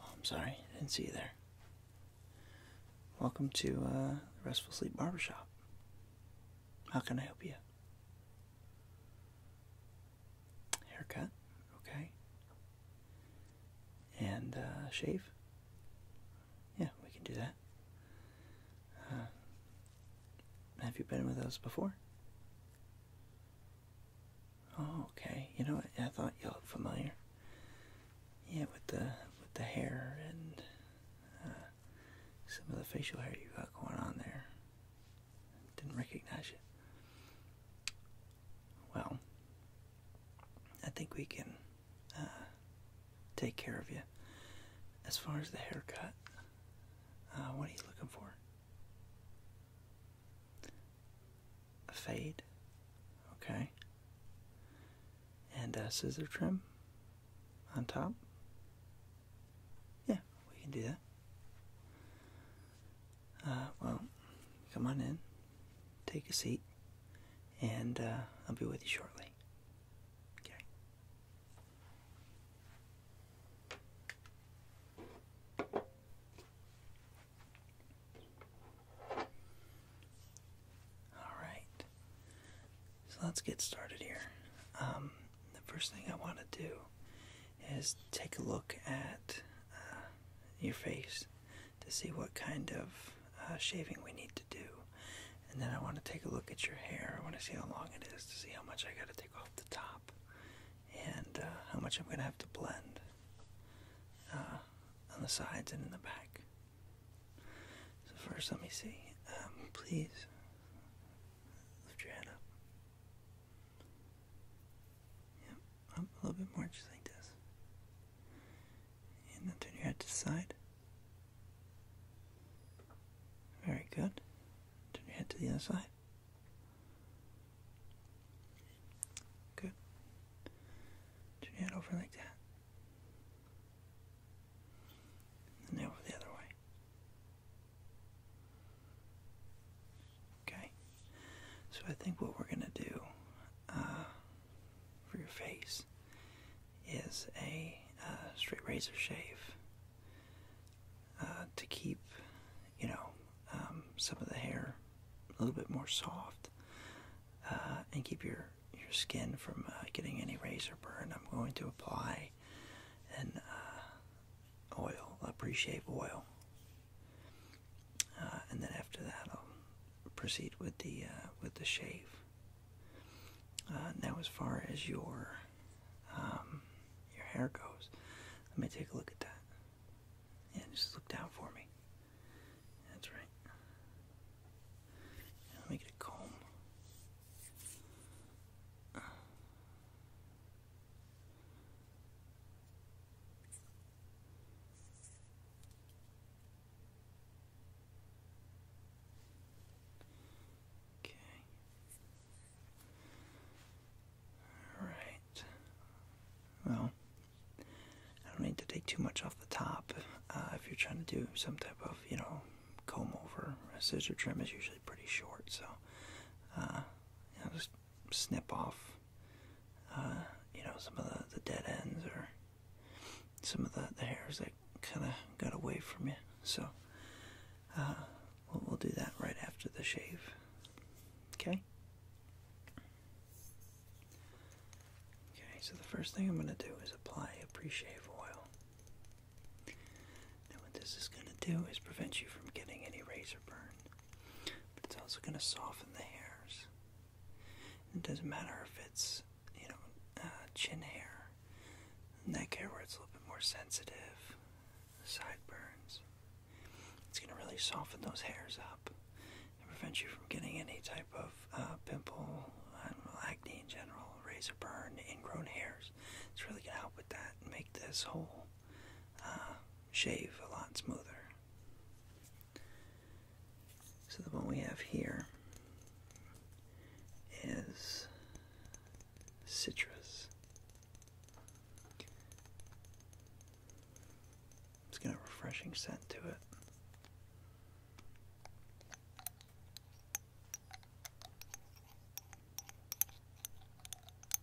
Oh, I'm sorry, didn't see you there. Welcome to uh, the Restful Sleep Barbershop. How can I help you? haircut, okay, and uh, shave. Yeah, we can do that. Uh, have you been with us before? Oh, okay. You know, I, I thought you looked familiar. Yeah, with the with the hair and uh, some of the facial hair you got going on there. Didn't recognize you. Well, I think we can uh, take care of you. As far as the haircut, uh, what are you looking for? A fade? Okay. And a scissor trim on top? Yeah, we can do that. Uh, well, come on in, take a seat, and uh, I'll be with you shortly. Okay. All right. So let's get started here. Um, the first thing I want to do is take a look at uh, your face to see what kind of uh, shaving we need to do. And then I want to take a look at your hair. I want to see how long it is to see how much I got to take off the top and uh, how much I'm going to have to blend on the sides and in the back. So, first, let me see. Um, please lift your head up. Yep, a little bit more just like this. And then turn your head to the side. Very good. Turn your head to the other side. Good. Turn your head over like that. And over the other way. Okay, so I think what we're going to do uh, for your face is a uh, straight razor shave uh, to keep, you know, um, some of the hair a little bit more soft and keep your, your skin from getting any razor burn. I'm going to apply an oil, a pre shave oil uh, and then after that, I'll proceed with the uh, with the shave. Uh, now, as far as your um, your hair goes, let me take a look at that. Yeah, just look down for me. That's right. let me get a comb. Okay. All right. Well, I don't need to take too much off the top. Uh, if you're trying to do some type of, you know, comb over, a scissor trim is usually pretty short, so uh, you just snip off uh, you know, some of the, the dead ends or some of the, the hairs that kind of got away from you. So uh, we'll, do that right after the shave. Okay? Okay, so the first thing I'm going to do is apply a pre-shave oil. Now what this is going to do is prevent you from getting any razor burn. But it's also going to soften the hairs. It doesn't matter if it's, you know, uh, chin hair, neck hair where it's a little bit more sensitive, sideburns. It's going to really soften those hairs up and prevent you from getting any type of uh, pimple, acne in general, razor burn, ingrown hairs. It's really going to help with that and make this whole uh, shave a lot smoother. So the one we have here is citrus. It's got a refreshing scent to it.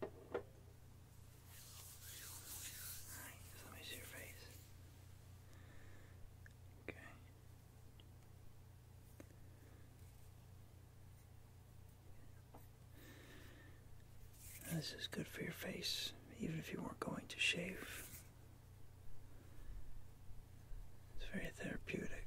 let me see your face. Okay. This is good for your face, even if you weren't going to shave. It's very therapeutic.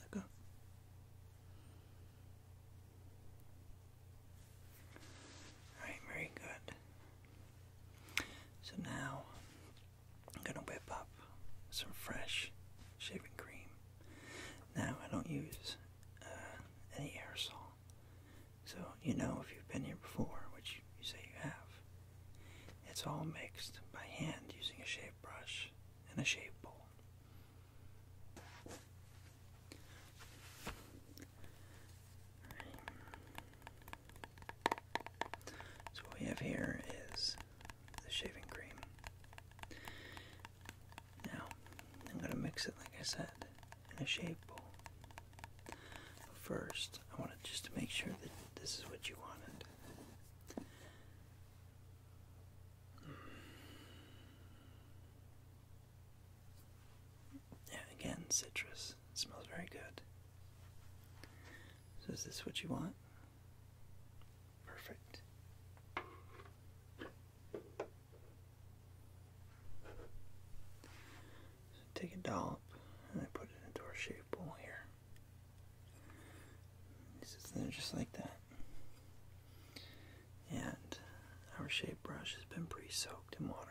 Let go. Alright, very good. So now I'm going to whip up some fresh shaving cream. Now, I don't use uh, any aerosol. So, you know, if you've been here before, which you say you have, it's all mixed by hand using a shave brush and a shave bowl. So, what we have here is the shaving cream. Now, I'm going to mix it, like I said, in a shave bowl. But first, I want to make sure that this is what you wanted. Yeah, again, citrus. smells very good. So, is this what you want? Perfect. take a dollop and I put it into our shape bowl here. It sits just like that. And our shape brush has been pre soaked in water.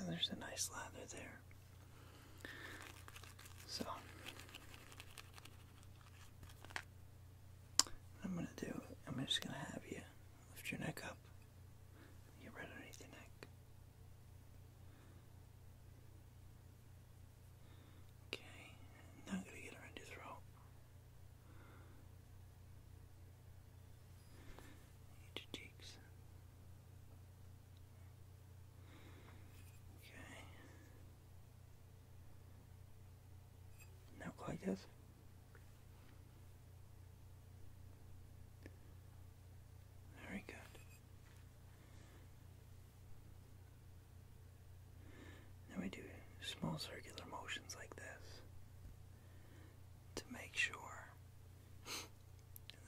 Alright, so there's a nice lather there. So I'm gonna do, I'm just gonna have you lift your neck up. Get right underneath your neck. Okay, now I'm gonna get around your throat. Eat cheeks. Okay. Not quite yet. Very good. Now we do small circular motions like this to make sure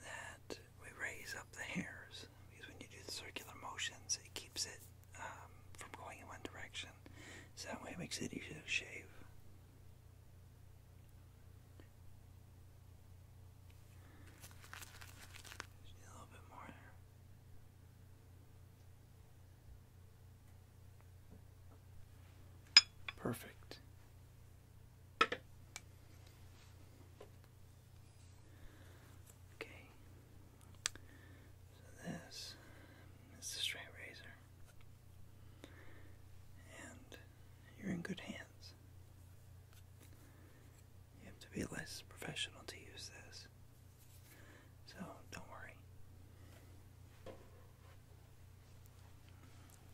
that we raise up the hairs because when you do the circular motions, it keeps it um, from going in one direction. So that way it makes it easier to shave. a little bit more Perfect. Okay. So this is the straight razor. And you're in good hands. You have to be a licensed professional to use this. So don't worry.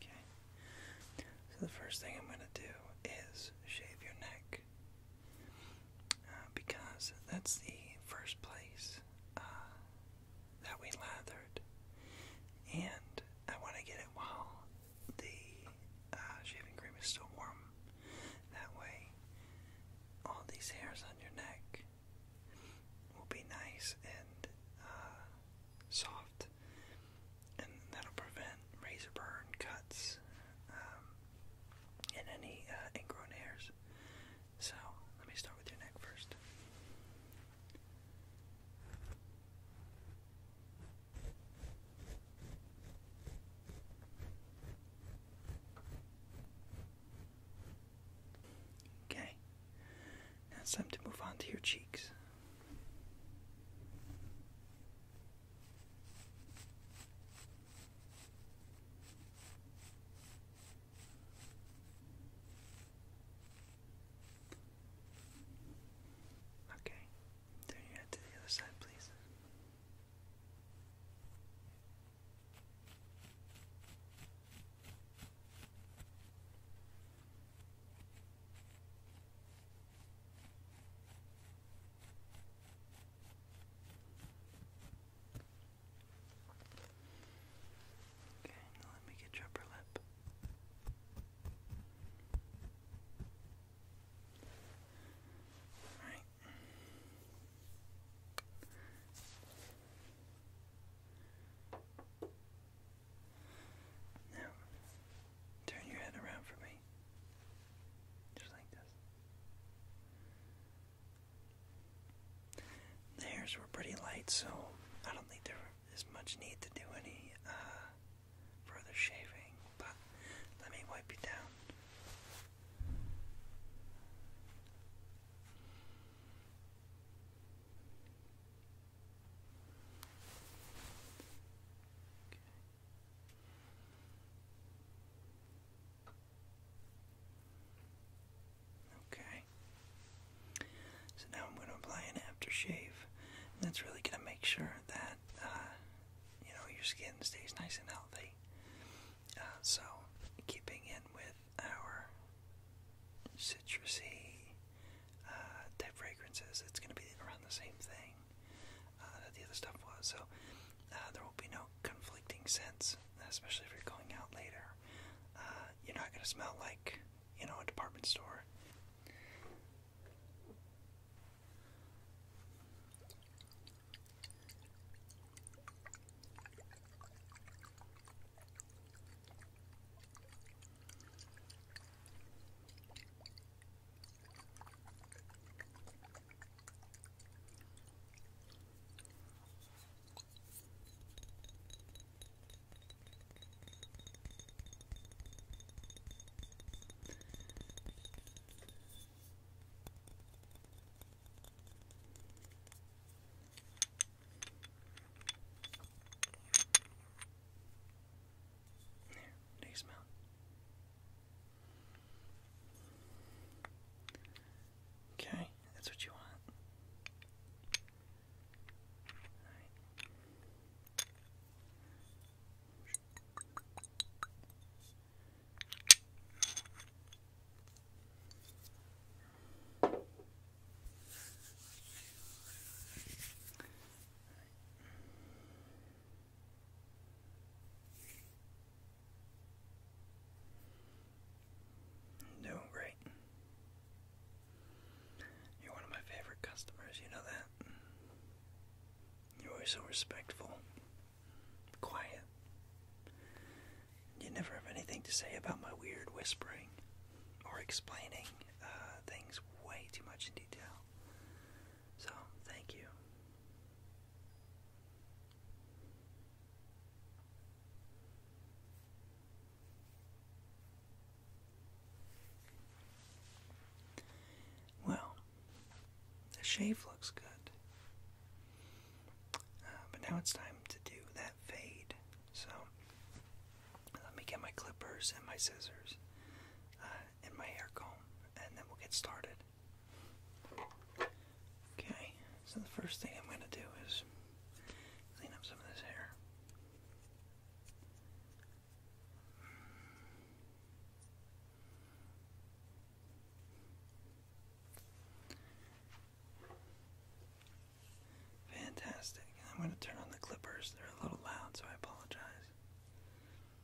Okay. So the first thing I'm going to do is shave your neck. Uh, because that's the first place uh, that we lathered, and I want to get it while the uh, shaving cream is still warm. That way, all these hairs on your neck will be nice and soft, and that'll prevent razor burn cuts. Um, and any uh, ingrown hairs. So, let me start with your neck first. Okay, now it's time to move on to your cheeks. Okay, turn your head to the other side, please. Okay, now let me get your upper lip. All right. Now, turn your head around for me. Just like this. The hairs were pretty light, so I don't think there is much need to do any uh, further shaving, but let me wipe you down. Okay. Okay. So now I'm going to apply an aftershave. that's really going to make sure that, uh, you know, your skin stays nice and healthy. Uh, so, keeping in with our citrusy uh, type fragrances, it's going to be around the same thing. Uh, the other stuff was. So uh, there will be no conflicting sense, especially if you're going out later. Uh, you're not going to smell like, you know, a department store. There, do you smell? Okay, that's what you want. Doing great. You're one of my favorite customers, you know that? You're always so respectful, quiet. You never have anything to say about my weird whispering or explaining uh, things way too much in detail. So, thank you. Well, the shave looks good. Uh, but now it's time to do that fade. So let me get my clippers and my scissors uh, and my hair comb, and then we'll get started. Okay, so the first thing I'm going to do is clean up some of this hair. Fantastic. I'm going to turn on the clippers. They're a little loud, so I apologize.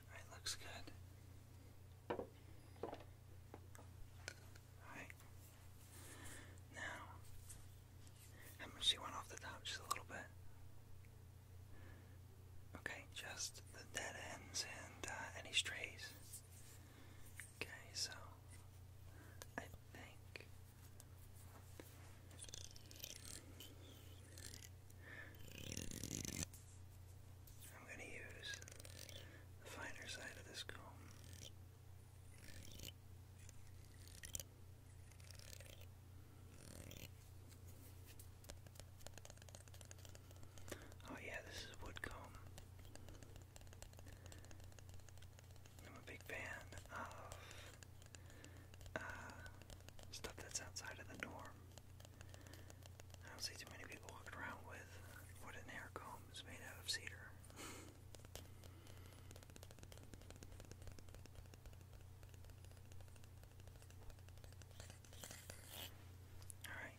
Alright, looks good. Alright. Now, how much do you want off the top? Just a little bit. Okay, just the dead ends and uh, any strays. Okay, so I think I'm going to use the finer side of this comb. Oh, yeah, this is wood comb. I'm a big fan of uh, stuff that's outside of the norm. I don't see too many people walking around with an hair combs made out of cedar. Alright,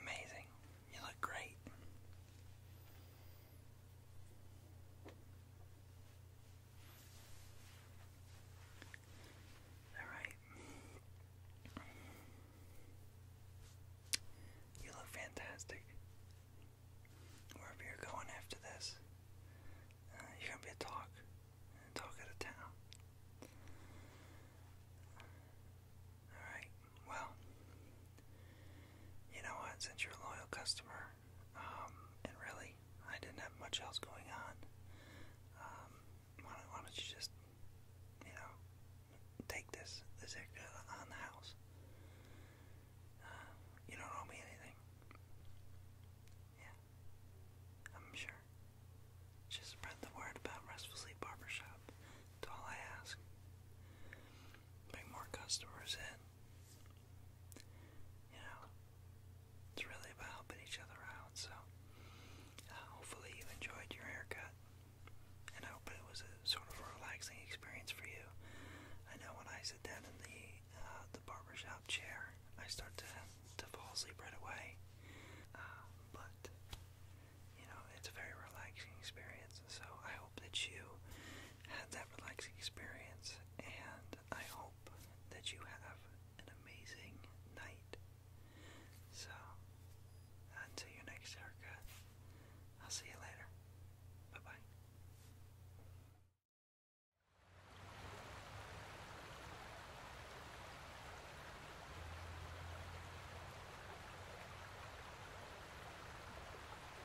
Amazing. You look great. Alright. You look fantastic. Wherever you're going after this, uh, you're gonna be a talk. talk out of town. Alright, well, you know what? Since you're a loyal customer, um, and really, I didn't have much else going on. Um, why, don't, you just, you know, take this this haircut on the house? Uh, you don't owe me anything. Yeah, I'm sure. Just spread the word about Restful Sleep Barbershop. That's all I ask. Bring more customers in you know, it's really about helping each other out. So, uh, hopefully, you enjoyed your haircut, and I hope it was a sort of a relaxing experience for you. I know when I sit down in the uh, the barbershop chair, I start to to fall asleep right away. Uh, but you know, it's a very relaxing experience. So I hope that you had that relaxing experience, and I hope that you have an amazing night. So until your next haircut, I'll see you later. Bye bye.